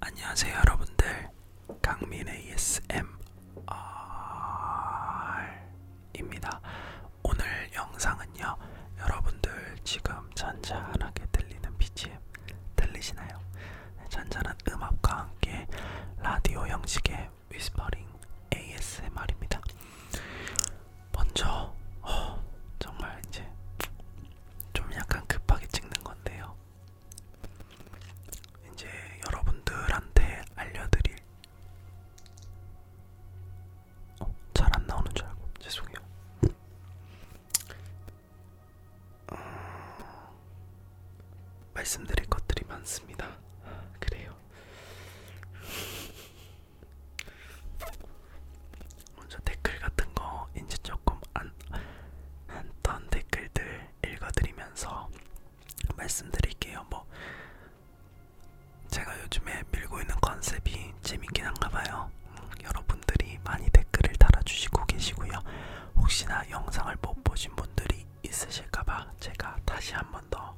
안녕하세요 여러분들 강민 ASMR입니다 오늘 영상은요 여러분들 지금 잔잔하게 들리는 BGM 들리시나요? 잔잔한 음악과 함께 라디오 형식의 위스퍼링 ASMR입니다 먼저 어, 정말 이제 좀 약간 급하게 찍는 건데요 이제 여러분들한테 알려드릴 어, 잘안 나오는 줄 알고 죄송해요. 어, 말씀드릴 것들이 많습니다. 그래요. 먼저 댓글 같은 거 이제 조금 안 했던 댓글들 읽어드리면서 말씀드릴게요. 뭐 제가 요즘에 밀고 있는 컨셉이 재밌긴 한가봐요. 음, 여러분들이 많이 댓글을 달아주시고 계시고요. 혹시나 영상을 못 보신 분들이 있으실까봐 제가 다시 한번더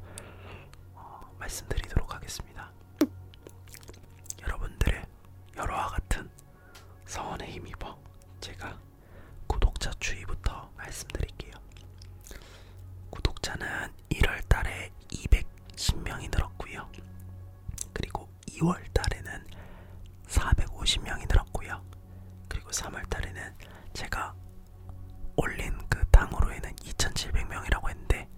어, 말씀드리도록 하겠습니다. 여러분들의 여러와 같은 서원에 힘입어 뭐 제가 구독자 추이부터 말씀드릴게요. 구독자는 1월달에 210명이 늘었고요. 그리고 2월달에는 450명이 늘었고요. 그리고 3월달에는 제가 올린 그 당으로에는 2,700명이라고 했는데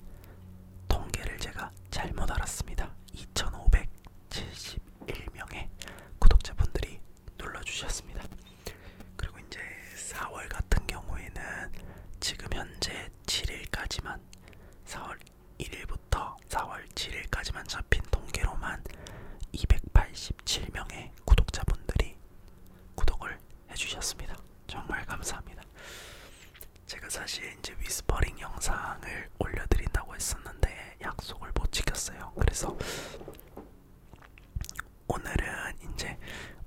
통계를 제가 잘못 알았습니다. 2,500 71명의 구독자분들이 눌러주셨습니다. 그리고 이제 4월 같은 경우에는 지금 현재 7일까지만 4월 1일부터 4월 7일까지만 잡힌 통계로만 287명의 구독자분들이 구독을 해주셨습니다. 정말 감사합니다. 제가 사실 이제 위스퍼링 영상을 올려드린다고 했었는데 약속을 못 지켰어요. 그래서 오늘은 이제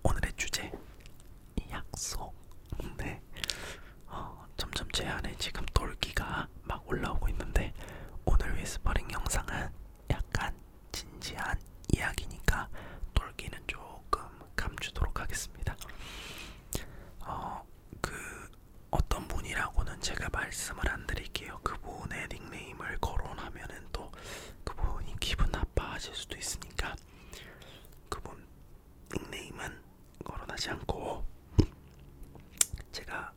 오늘의 주제 약속. 네. 어, 점점 제 안에 지금 돌기가 막 올라오고 있는데 오늘 위스퍼링 영상은 약간 진지한 이야기니까 돌기는 조금 감추도록 하겠습니다. 어, 그 어떤 분이라고는 제가 말씀을 안 드릴게요. 그분의 닉네임을 거론하면은 또 그분이 기분 나빠하실 수도 있으니까 그분 닉네임은 거론하지 않고 제가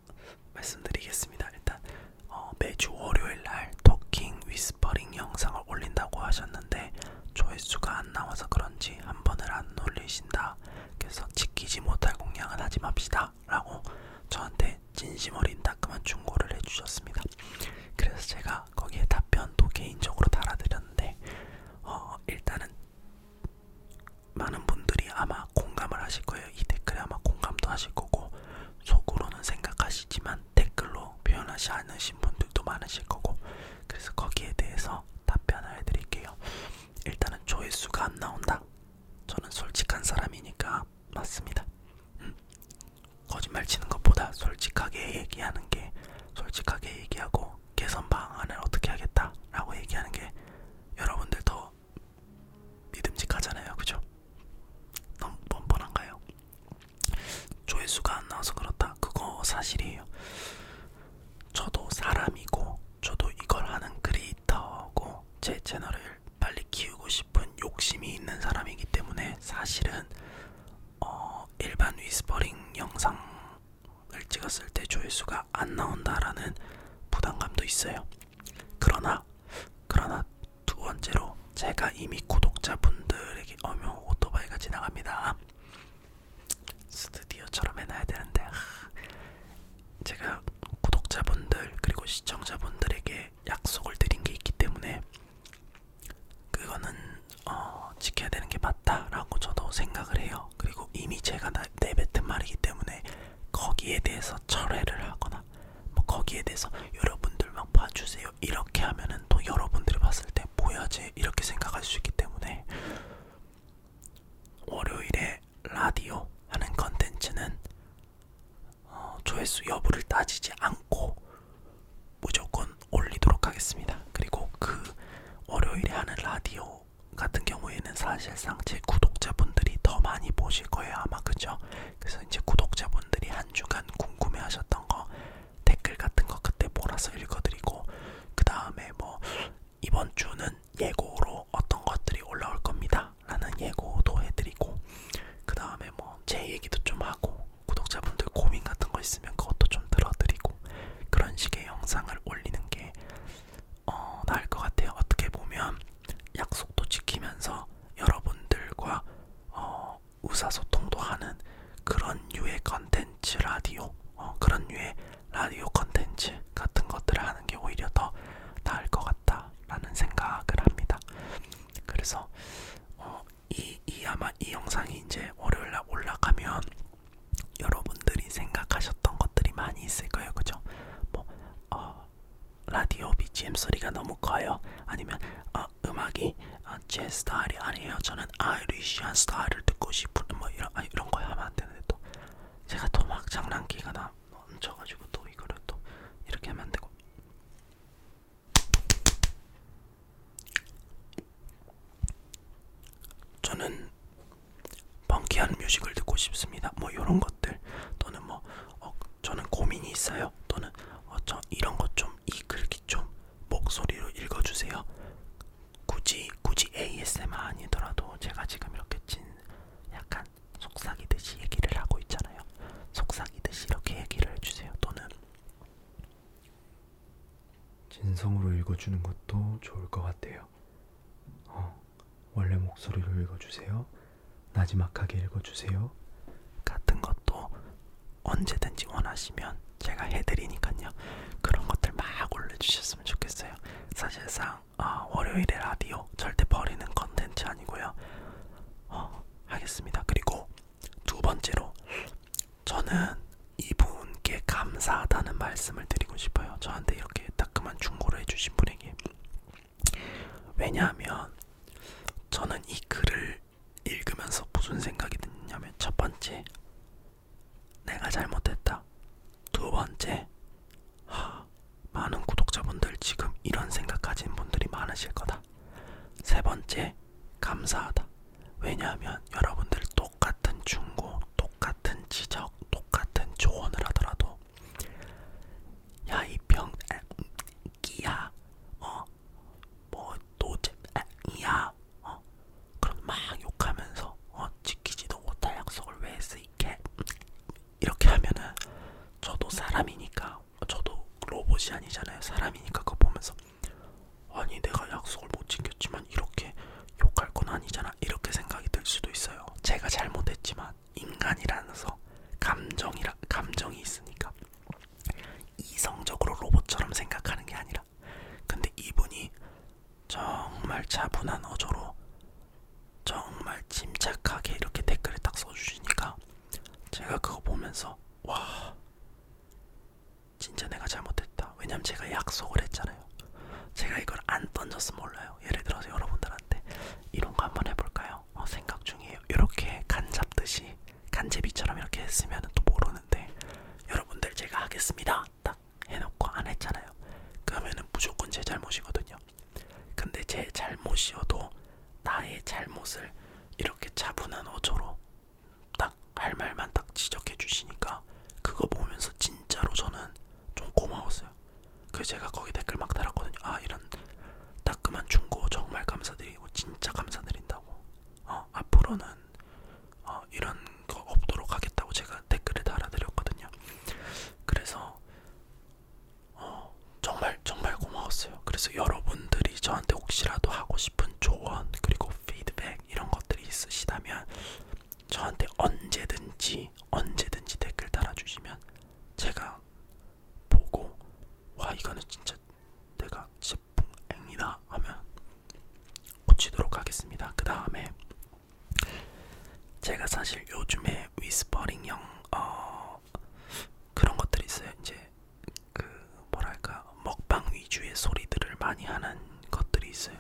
말씀드리겠습니다. 일단 어, 매주 월요일 날 토킹 위스퍼링 영상을 올린다고 하셨는데 조회수가 안 나와서 그런지 한 번을 안 올리신다. 그래서 지키지 못할 공약은 하지 맙시다 라고 저한테 진심 어린 따끔한 충고를 해주셨습니다. 그래서 제가 거기에 답변도 개인적으로 달아드렸는데 어, 일단은 많은 분들이 아마 공감을 하실 거예요. 이 댓글에 아마 공감도 하실 거고 속으로는 생각하시지만 댓글로 표현하지 않으신 분들도 많으실 거고 그래서 거기에 대해서 답변을 해드릴게요. 일단은 조회수가 안 나온다 저는 솔직한 사람이니까 맞습니다. 음. 거짓말 치는 것보다 솔직하게 얘기하는 게 솔직하게 얘기하고 개선 방안을 어떻게 하겠다라고 얘기하는 게 여러분들 더 믿음직하잖아요, 그죠? 너무 뻔뻔한가요? 조회수가 안 나와서 그렇다. 그거 사실이에요. 저도 사람이고 저도 이걸 하는 크리에이터고 제 채널을 빨리 키우고 싶은 욕심이 있는 사람이기 때문에 사실은 어, 일반 위스퍼링 영상을 찍었을 때 조회수가 안 나온다라는 부담감도 있어요. 그러나 그러나 두 번째로 제가 이미 구독자분들에게 어머 오토바이가 지나갑니다. 스튜디오처럼 해놔야 되는데 제가 구독자분들 그리고 시청자분들에게 약속을 드린 게 있기 때문에 그거는 어, 지켜야 되는 게 맞다라고 저도 생각을 해요. 그리고 이미 제가 나, 내뱉은 말이기 때문에 거기에 대해서 철회를 하거나 뭐 거기에 대해서 여러분들 막 봐주세요 이렇게 하면은 또 여러분들이 봤을 때 뭐야지 이렇게 생각할 수 있기 때문에 월요일에 이제 라디오 하는 컨텐츠는 어, 조회수 여부를 따지지 않고 무조건 올리도록 하겠습니다. 그리고 그 월요일에 하는 라디오 같은 경우에는 사실상 제 구독자분들이 더 많이 보실 거예요. 아마 그죠? 그래서 이제 구독자분들이 한 주간 궁금해 하셨던 거 댓글 같은 거 그때 몰아서 읽어드리고 그 다음에 뭐 이번 주는 예고로 어떤 것들이 올라올 겁니다. 라는 예고도 해드리고 그 다음에 뭐 제 얘기도 좀 하고 구독자분들 고민 같은 거 있으면 그것도 좀 들어드리고 그런 식의 영상을 올리는 게 어, 나을 것 같아요. 어떻게 보면 약속도 지키면서 여러분들과 어, 의사소통도 하는 그런 유의 컨텐츠 라디오 어, 그런 유의 라디오 컨텐츠 같은 것들을 하는 게 오히려 더 나을 것 같다라는 생각을 합니다. 그래서 어, 이, 이 아마 이 영상이 이제 월요일날 올라가면 여러분들이 생각하셨던 것들이 많이 있을 거예요, 그죠? 뭐 어, 라디오 BGM 소리가 너무 커요. 아니면 어, 음악이 어, 제 스타일이 아니에요. 저는 아이리시한 스타일을 듣고 싶은 뭐 이런 아, 이런 거야 하면 안 되는데 또 제가 또 막 장난기가 나 얹혀가지고 또 이거를 또 이렇게 하면 안 되고 저는 펑키한 뮤직을 듣고 싶습니다. 뭐 이런 것들 또는 뭐 어, 저는 고민이 있어요. 또는 어, 저 이런 것 좀 이 글귀 좀 목소리로 읽어주세요. 굳이 이 굳이 ASMR 아니더라도 제가 지금 이렇게 진 약간 속삭이듯이 얘기를 하고 있잖아요. 속삭이듯이 이렇게 얘기를 해주세요. 또는 진성으로 읽어주는 것도 좋을 것 같아요. 어, 원래 목소리로 읽어주세요. 나지막하게 읽어주세요. 같은 것도 언제든지 원하시면 제가 해드리니까요. 그런 것들 막 올려주셨으면 좋겠어요. 사실상 그냥 아, 월요일에 라디오 절대 버리는 컨텐츠 아니고요. 어, 하겠습니다. 그리고 두 번째로 저는 이분께 감사하다는 말씀을 드리고 싶어요. 저한테 이렇게 따끔한 충고를 해주신 분에게 왜냐하면 저는 이 글을 읽으면서 무슨 생각이 드냐면 첫 번째 내가 잘못했다. 두 번째 하, 많은 구독자분들 지금 이런 생각 가진 분들이 많으실 거다. 세 번째, 감사하다. 왜냐하면 여러분들 똑같은 충고, 똑같은 지적, 똑같은 조언을 하더라도 야 이병, 끼야, 어, 뭐 노잼, 이야, 어, 그럼 막 욕하면서 어 지키지도 못할 약속을 왜 했어 이게 이렇게 하면은 저도 사람이니까 저도 로봇이 아니잖아요. 사람이니까 그거 보면서 아니 내가 약속을 못 지켰지만 이렇게 욕할 건 아니잖아. 이렇게 생각이 들 수도 있어요. 제가 잘못했지만 인간이라서 감정이라 감정이 있으니까 이성적으로 로봇처럼 생각하는 게 아니라 근데 이분이 정말 차분한 어조로 정말 침착하게 이렇게 댓글을 딱 써주시니까 제가 그거 보면서 와 진짜 내가 잘못했다 왜냐면 제가 약속을 했잖아요 제가 이걸 안 던졌으면 몰라요 예를 들어서 여러분들한테 이런 거 한번 해볼까요? 어, 생각 중이에요 이렇게 간잡듯이 간제비처럼 이렇게 했으면 또 모르는데 여러분들 제가 하겠습니다 딱딱 해놓고 안 했잖아요. 그러면은 무조건 제 잘못이거든요. 근데 제 잘못이어도 나의 잘못을 이렇게 차분한 어조로 딱 할 말만 딱 지적해 주시니까 그거 보면서 진짜로 저는 좀 고마웠어요. 그 제가 거기 댓글 막 달았거든요. 아 이런 따끔한 충고 정말 감사드리고 진짜 감사드린다고. 어 앞으로는 어, 이런 거 없도록 하겠다고 제가 댓글을 달아드렸거든요. 그래서 어, 정말 정말 고마웠어요. 그래서 여러분들이 저한테 혹시라도 하고 싶은 조언 그리고 피드백 이런 것들이 있으시다면 저한테 언제든지 언제든지 댓글 달아주시면 제가 보고 와 이거는 진짜 내가 진짜 뿡이다 하면 고치도록 하겠습니다. 그 다음에 제가 사실 요즘에 위스퍼링형 어, 그런 것들이 있어요. 이제 그 뭐랄까 먹방 위주의 소리들을 많이 하는 것들이 있어요.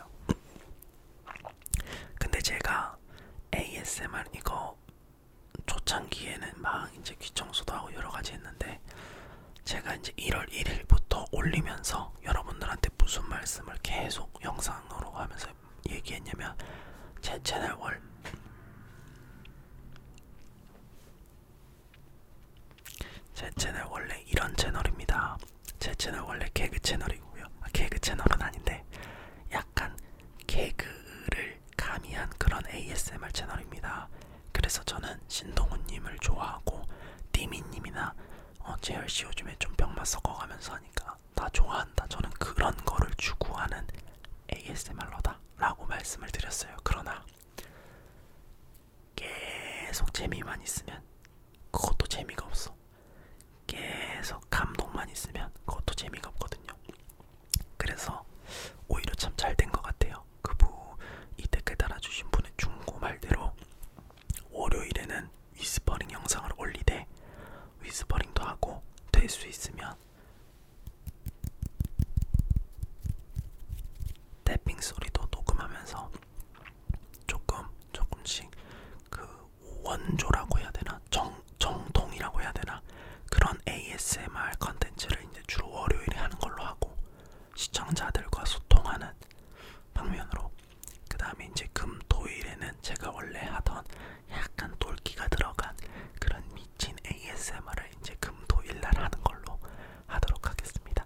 근데 제가 ASMR 이거 초창기에는 막 이제 귀청소도 하고 여러 가지 했는데 제가 이제 1월 1일부터 올리면서 여러분들한테 무슨 말씀을 계속 영상으로 하면서 무슨 얘기했냐면 제 채널 월제 채널 원래 이런 채널입니다. 제 채널 원래 개그 채널이고요. 아, 개그 채널은 아닌데 약간 개그를 가미한 그런 ASMR 채널입니다. 그래서 저는 신동훈님을 좋아하고 디미님이나 어, 재열씨 요즘에 좀 병맛 섞어가면서 하니까 다 좋아한다. 저는 그런 거를 추구하는 ASMR러다. 라고 말씀을 드렸어요. 그러나 계속 재미만 있으면 그것도 재미가 없어. 계속 감동만 있으면 그것도 재미가 없거든요. 그래서 오히려 참 잘 된 것 같아요. 그분 이 댓글 달아주신 분은 중고 말대로 월요일에는 위스퍼링 영상을 올리되 위스퍼링도 하고 될 수 있으면 탭핑 소리도 녹음하면서 조금 조금씩 그 원조라고 해야 되나 정 정통이라고 해야 되나 그런 ASMR 컨텐츠를 이제 주로 월요일에 하는 걸로 하고 시청자들과 소통하는 방면으로 그 다음에 이제 금, 토일에는 제가 원래 하던 약간 똘끼가 들어간 그런 미친 ASMR을 이제 금, 토일 날 하는 걸로 하도록 하겠습니다.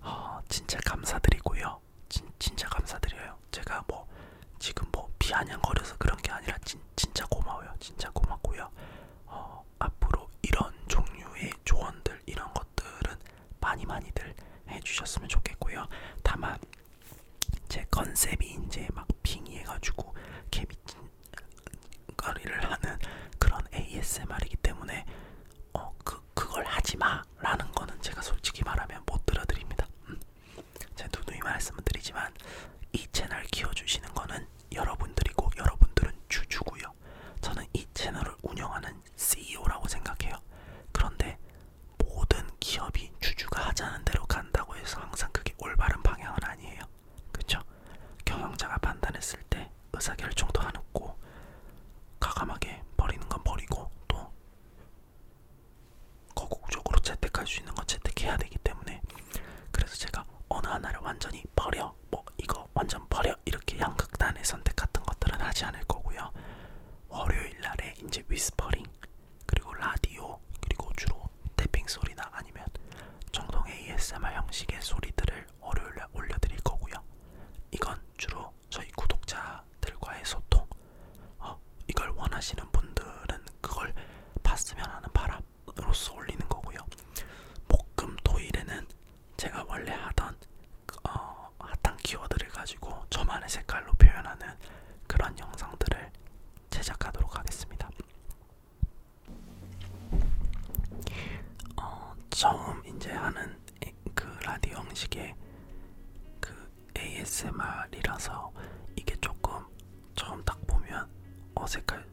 어, 진짜 감사드리고요. 진, 진짜 감사드려요. 제가 뭐 지금 뭐 비아냥거려서 그런 게 아니라 진, 진짜 고마워요. 진짜 고맙고요. 어, 앞으로 이런 종류의 조언들 이런 것들은 많이 많이들 해주셨으면 좋겠고요. 다만 제 컨셉이 이제 막 빙의해가지고 개미거리를 하는 그런 ASMR이기 때문에 어, 그, 그걸 하지마라는 거는 제가 솔직히 말하면 못 들어드립니다. 음. 제가 누누이 말씀을 드리지만 이 채널 키워주시는 거는 여러분들이고 여러분들은 주주고요. 저는 이 채널을 운영하는 CEO라고 생각해요. 그런데 모든 기업이 주주가 하자는 대로 간다고 해서 항상 그게 올바른 방향은 아니에요. 그쵸? 경영자가 판단했을 때 의사결정도 안 했고 가감하게 버리는 건 버리고 또 거국적으로 채택할 수 있는 건 채택해야 되기 때문에 그래서 제가 어느 하나를 완전히 버려 뭐 이거 완전 버려 이렇게 양극단의 선택 같은 것들은 하지 않을 거고요. 월요일 날에 이제 위스퍼링 그리고 라디오, 그리고 주로 태핑 소리나 아니면 정성의 ASMR 형식의 소리들을 월요일에 올려드릴 거고요. 이건 주로 저희 구독자들과의 소통. 어, 이걸 원하시는 분들은 그걸 봤으면 하는 바람으로써 올리는 거고요. 목금토일에는 제가 원래 하던 그, 어, 핫한 키워드를 가지고 저만의 색깔로 표현하는 그런 영상들을 제작하도록 하겠습니다. 어, 처음 이제 하는 그 라디오 형식의 그 ASMR이라서 이게 조금 처음 딱 보면 어색할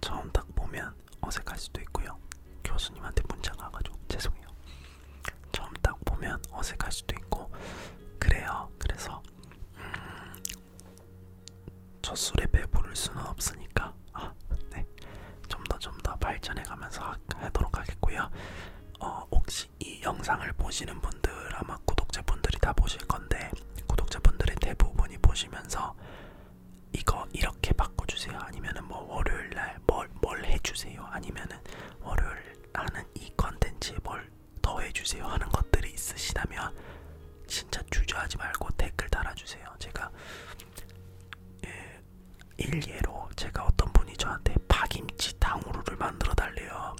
처음 딱 보면 어색할 수도 있고요. 교수님한테 문자 가가지고 죄송해요. 처음 딱 보면 어색할 수도 있고 그래요. 그래서 음, 첫술에 배부를 수는 없으니까 아, 네. 좀더좀더 좀 더 발전해가면서 하, 하도록 하겠고요. 어, 혹시 이 영상을 보시는 분들 아마 구독자분들이 다 보실 건데 구독자분들의 대부분이 보시면서 이거 이렇게 바꿔주세요. 아니면은 뭐 월요일 날뭘뭘 뭘 해주세요. 아니면은 월요일 하는 이 컨텐츠에 뭘 더해주세요 하는 것들이 있으시다면 진짜 주저하지 말고 댓글 달아주세요. 제가 예, 일예로 제가 어떤 분이 저한테 파김치 당후루를 만들어 달래요.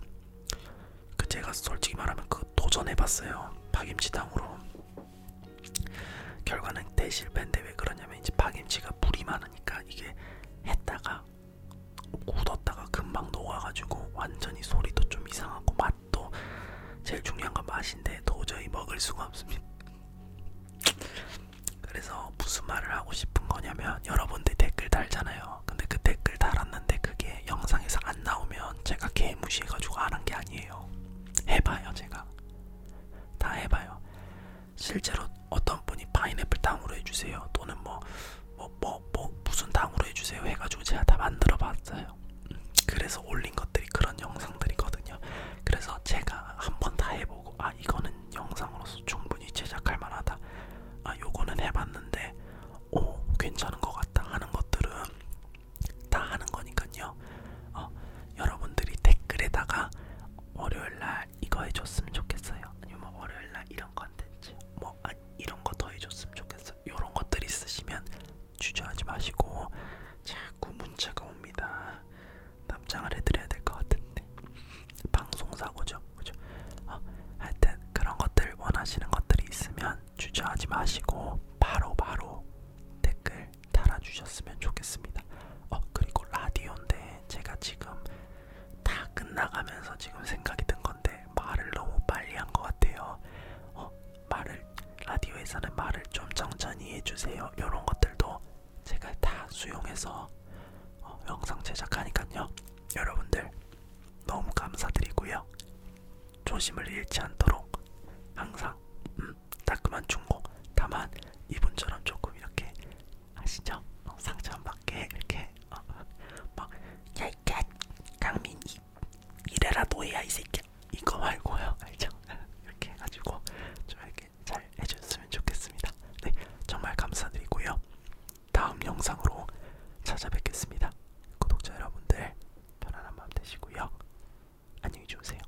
그 제가 솔직히 말하면 그 도전해봤어요. 파김치 당후루. 결과는 대실패인데 왜 그러냐면 이제 파김치가 물이 많으니까 이게 했다가 굳었다가 금방 녹아가지고 완전히 소리도 좀 이상하고 맛도 제일 중요한 건 맛인데 도저히 먹을 수가 없습니다. 그래서 무슨 말을 하고 싶은 거냐면 여러분들 댓글 달잖아요. 근데 그 댓글 달았는데 그게 영상에서 안 나오면 제가 개무시해가지고 안 한 게 아니에요. 해봐요 제가 다 해봐요. 실제로 어떤 분이 파인애플 당으로 해주세요 또는 뭐 뭐뭐 뭐, 뭐, 뭐 무슨 당으로 해주세요 해가지고 제가 다 만들어봤어요. 그래서 올린 것들이 그런 영상들이거든요. 그래서 제가 한번 다 해보고 아 이거는 영상으로서 충분히 제작할 만하다. 아 요거는 해봤는데 오 괜찮은 것 같다 하는 것들은 다 하는 거니까요. 어, 여러분들이 댓글에다가 월요일 날 이거 해줬으면 좋겠어요. 아니면 뭐 월요일날 이런 컨텐츠, 뭐 아니, 이런 거 더 해줬으면 좋겠어. 이런 것들 있으시면 주저하지 마시고 자꾸 문자가 옵니다. 답장을 해드려야 될 것 같은데 방송사고죠, 그죠? 어, 하여튼 그런 것들 원하시는 것들이 있으면 주저하지 마시고 바로바로 바로 댓글 달아주셨으면 좋겠습니다. 어 그리고 라디오인데 제가 지금 다 끝나가면서 지금 생각이 든 건데 말을 너무 빨리 한 것 같아요. 어, 말을 라디오에서는 말을 좀 천천히 해주세요. 이런 것들도 제가 다 수용해서 어, 영상 제작하니까요. 여러분들 너무 감사드리고요. 조심을 잃지 않도록 항상 음, 따끔한 충고 다만 이분처럼 조금 이렇게 아시죠? 어, 상처받게 이렇게 어, 막 야이캣 강민 이 이래라 너야 이 새끼 이거 말고요 알죠? 이렇게 가지고 좀 이렇게 잘 해줬으면 좋겠습니다. 네 정말 감사드리고요. 다음 영상으로 찾아뵙겠습니다. 구독자 여러분들 편안한 밤 되시고요. 안녕히 주무세요.